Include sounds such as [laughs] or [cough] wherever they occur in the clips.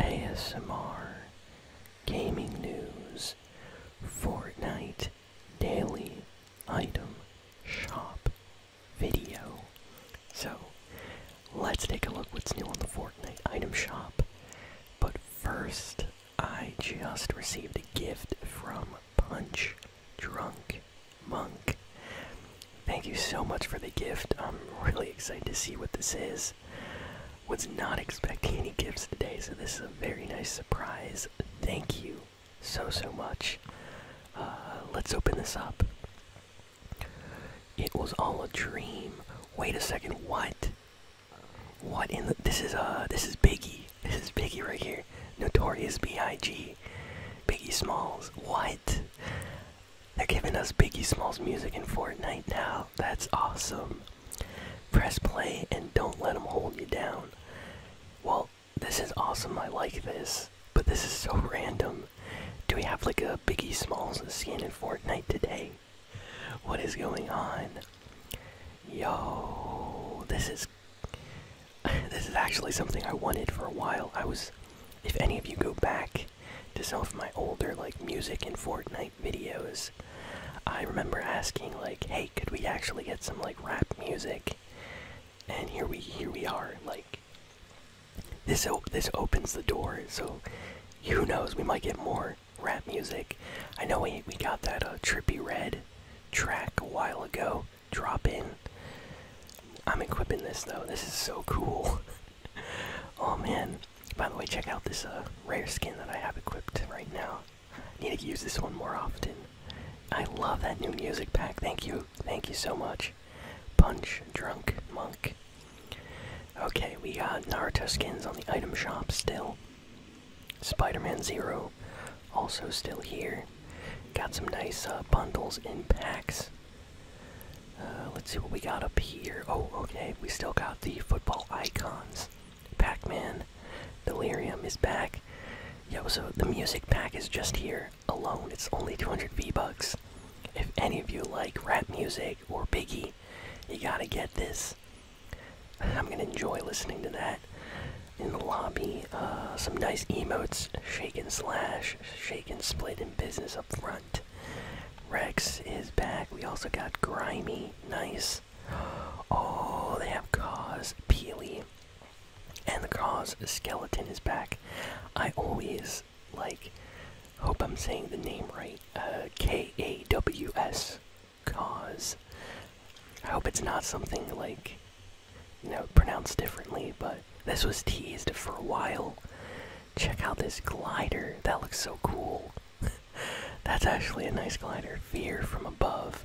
ASMR, gaming news, Fortnite daily item shop video. So, let's take a look what's new on the Fortnite item shop. But first, I just received a gift from Punch Drunk Monk. Thank you so much for the gift. I'm really excited to see what this is. Was not expecting any gifts today, so this is a very nice surprise. Thank you so, so much. Uh, let's open this up. It was all a dream. Wait a second, what? What in the. This is, uh, this is Biggie. This is Biggie right here. Notorious B.I.G. Biggie Smalls. What? They're giving us Biggie Smalls music in Fortnite now. That's awesome. Press play and don't let them hold you down. Well, this is awesome. I like this. But this is so random. Do we have like a Biggie Smalls skin in Fortnite today? What is going on? Yo, this is [laughs] this is actually something I wanted for a while. I was if any of you go back to some of my older like music and Fortnite videos, I remember asking like, "Hey, could we actually get some like rap music?" And here we here we are. Like this op this opens the door. So who knows? We might get more rap music. I know we we got that uh, trippy red track a while ago. Drop in. I'm equipping this though. This is so cool. [laughs] oh man. By the way, check out this uh, rare skin that I have equipped right now. I need to use this one more often. I love that new music pack. Thank you. Thank you so much. Punch, drunk, monk. Okay, we got Naruto skins on the item shop still. Spider-Man Zero also still here. Got some nice uh, bundles and packs. Uh, let's see what we got up here. Oh, okay, we still got the football icons. Pac Man, Delirium is back. Yo, so the music pack is just here alone. It's only 200 V-Bucks. If any of you like rap music or Biggie, you gotta get this. I'm gonna enjoy listening to that. In the lobby, uh, some nice emotes. Shake and slash, we can split, in business up front. Rex is back. We also got Grimy. Nice. Oh, they have Cause, Peely, and the Cause Skeleton is back. I always like. Hope I'm saying the name right. Uh, K A W S. Cause. I hope it's not something like you know, pronounced differently, but this was teased for a while. Check out this glider. That looks so cool. [laughs] That's actually a nice glider. View from above.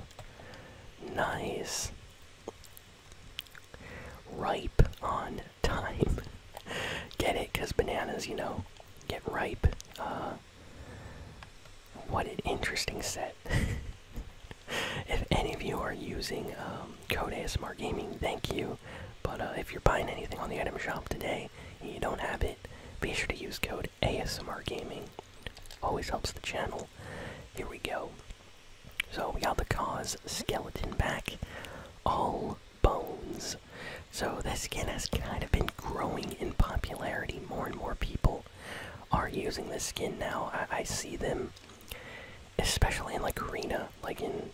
Nice. Ripe on time. [laughs] get it? Because bananas, you know, get ripe. Uh, what an interesting set. [laughs] if any of you are using um, um, code ASMR Gaming. Thank you. But uh, if you're buying anything on the item shop today and you don't have it, be sure to use code ASMR Gaming. Always helps the channel. Here we go. So we got the cause skeleton back, all bones. So this skin has kind of been growing in popularity. More and more people are using this skin now. I see them especially in like arena, like in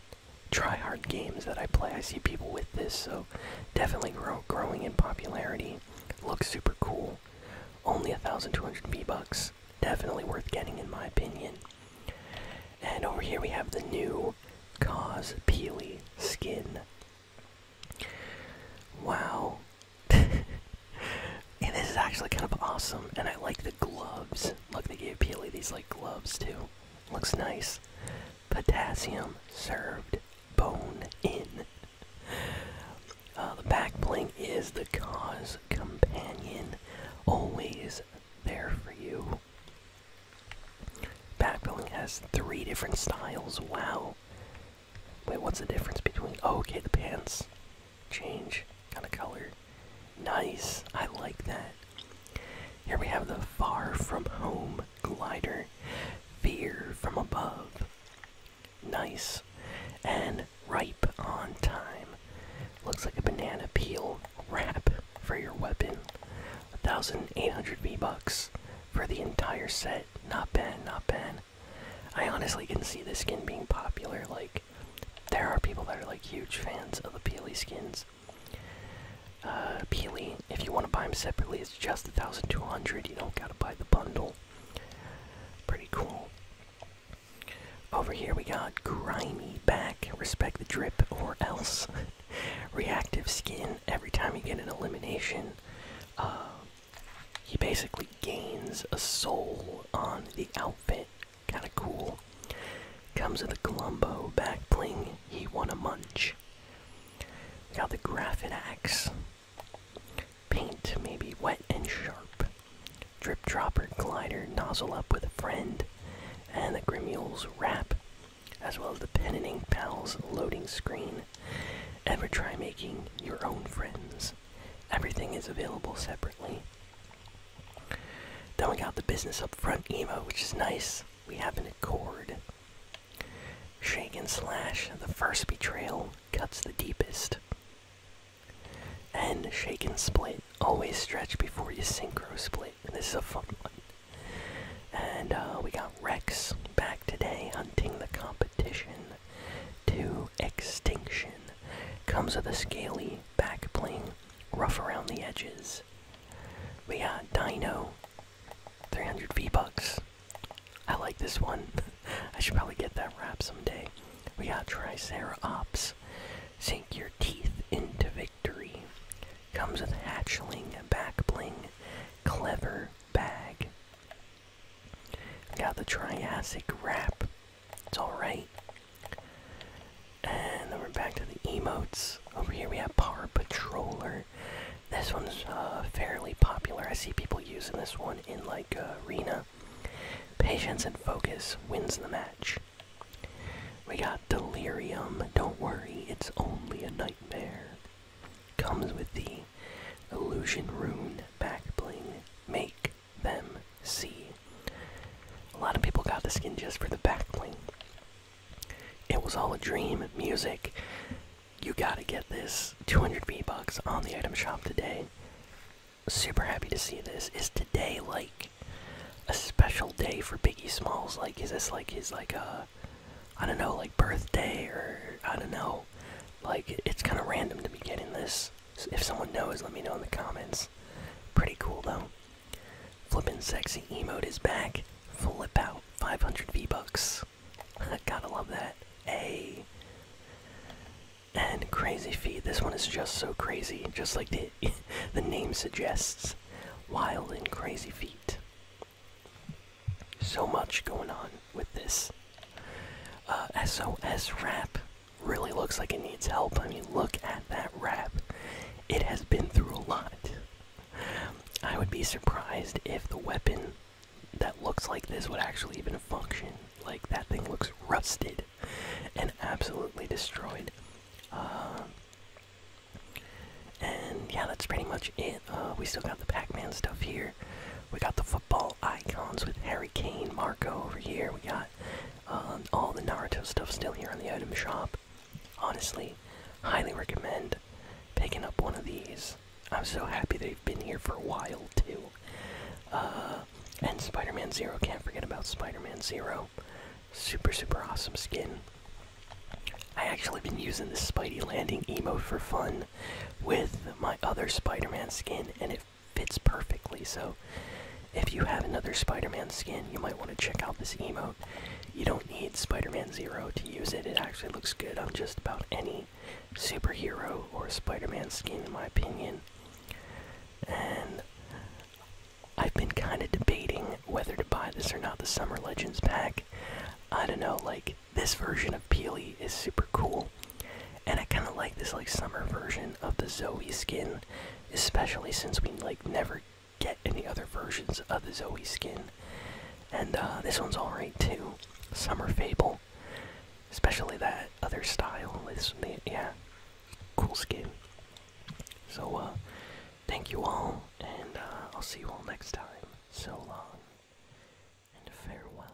try hard games that I play. I see people with this, so definitely growing in popularity. Looks super cool. Only 1,200 V-Bucks. Definitely worth getting, in my opinion. And over here we have the new Cause Peely skin. Wow. [laughs] And this is actually kind of awesome, and I like the gloves. Look, they gave Peely these like gloves too. Looks nice. Potassium served bone in. Uh, the back bling is the cause companion, always there for you. Back bling has three different styles. Wow. Wait, what's the difference between? Oh, okay, the pants change kind of color. Nice, I like that. Here we have the Far From Home Glider, Fear From Above. Nice, and Ripe on Time. Looks like a banana peel wrap for your weapon. 1,800 V-Bucks for the entire set. Not bad, not bad. I honestly can see this skin being popular, like, there are people that are like huge fans of the Peely skins. Uh, Peely, if you want to buy them separately, it's just 1,200. You don't gotta buy the bundle. Pretty cool. Over here we got Grimy Back, Respect the Drip or Else. [laughs] Reactive skin, every time you get an elimination, uh, he basically gains a soul on the outfit Kinda cool. Comes with a Columbo back bling. He won a munch. got the graphic axe. Paint may be wet and sharp. Drip dropper glider nozzle up with a friend. And the Grimule's wrap. As well as the pen and ink pals loading screen. Ever try making your own friends? Everything is available separately. Then we got the business up front emo, which is nice. We have an accord. Shake and slash, the first betrayal cuts the deepest. And shake and split, always stretch before you synchro split. This is a fun one. And uh, we got Rex back today hunting the competition to extinction. Comes with a scaly back bling, rough around the edges. We got Dino, 300 V-Bucks. I like this one. [laughs] I should probably get that wrap someday. We got Tricerops. Sink your teeth into victory. Comes with hatchling, back bling, clever bag. We got the Triassic wrap. It's alright. And then we're back to the emotes. Over here we have Power Patroller. This one's uh, fairly popular. I see people using this one in like uh, Arena. Patience and focus wins the match. We got Delirium. Don't worry, it's only a nightmare. Comes with the Illusion Rune back Make them see. A lot of people got the skin just for the backbling. It was all a dream. Music. You gotta get this. 200 V-Bucks on the item shop today. Super happy to see this. Is today like a special day for Biggie Smalls? Like, is this like his, like, a? Uh, don't know, like birthday or I don't know. Like, it's kind of random to be getting this if someone knows, let me know in the comments. Pretty cool though. Flippin' sexy emote is back. Flip out 500 V bucks. [laughs] Gotta love that. A and crazy feet. This one is just so crazy, just like the [laughs] the name suggests. Wild and crazy feet. So much going on with this. SOS uh, wrap really looks like it needs help. I mean, look at that rep. It has been through a lot. I would be surprised if the weapon that looks like this would actually even function. Like, that thing looks rusted and absolutely destroyed. Uh, and yeah, that's pretty much it. Uh, we still got the Pac Man stuff here. We got the football icons with Harry Kane, Marco over here. We got um, all the Naruto stuff still here in the item shop. Honestly, highly recommend picking up one of these. I'm so happy they've been here for a while too. Uh, and Spider-Man Zero, can't forget about Spider-Man Zero. Super, super awesome skin. I actually been using this Spidey landing emote for fun with my other Spider-Man skin, and it fits perfectly. So if you have another Spider-Man skin, you might want to check out this emote. You don't need Spider-Man Zero to use it. It actually looks good on just about any superhero or Spider-Man skin, in my opinion. And I've been kind of debating whether to buy this or not, the Summer Legends pack. I don't know, like, this version of Peely is super cool. And I kind of like this like summer version of the Zoe skin, especially since we like never get any other versions of the Zoe skin. And uh, this one's alright too, Summer Fable, especially that other style. This yeah, cool skin. So uh, thank you all, and uh, I'll see you all next time. So long and farewell.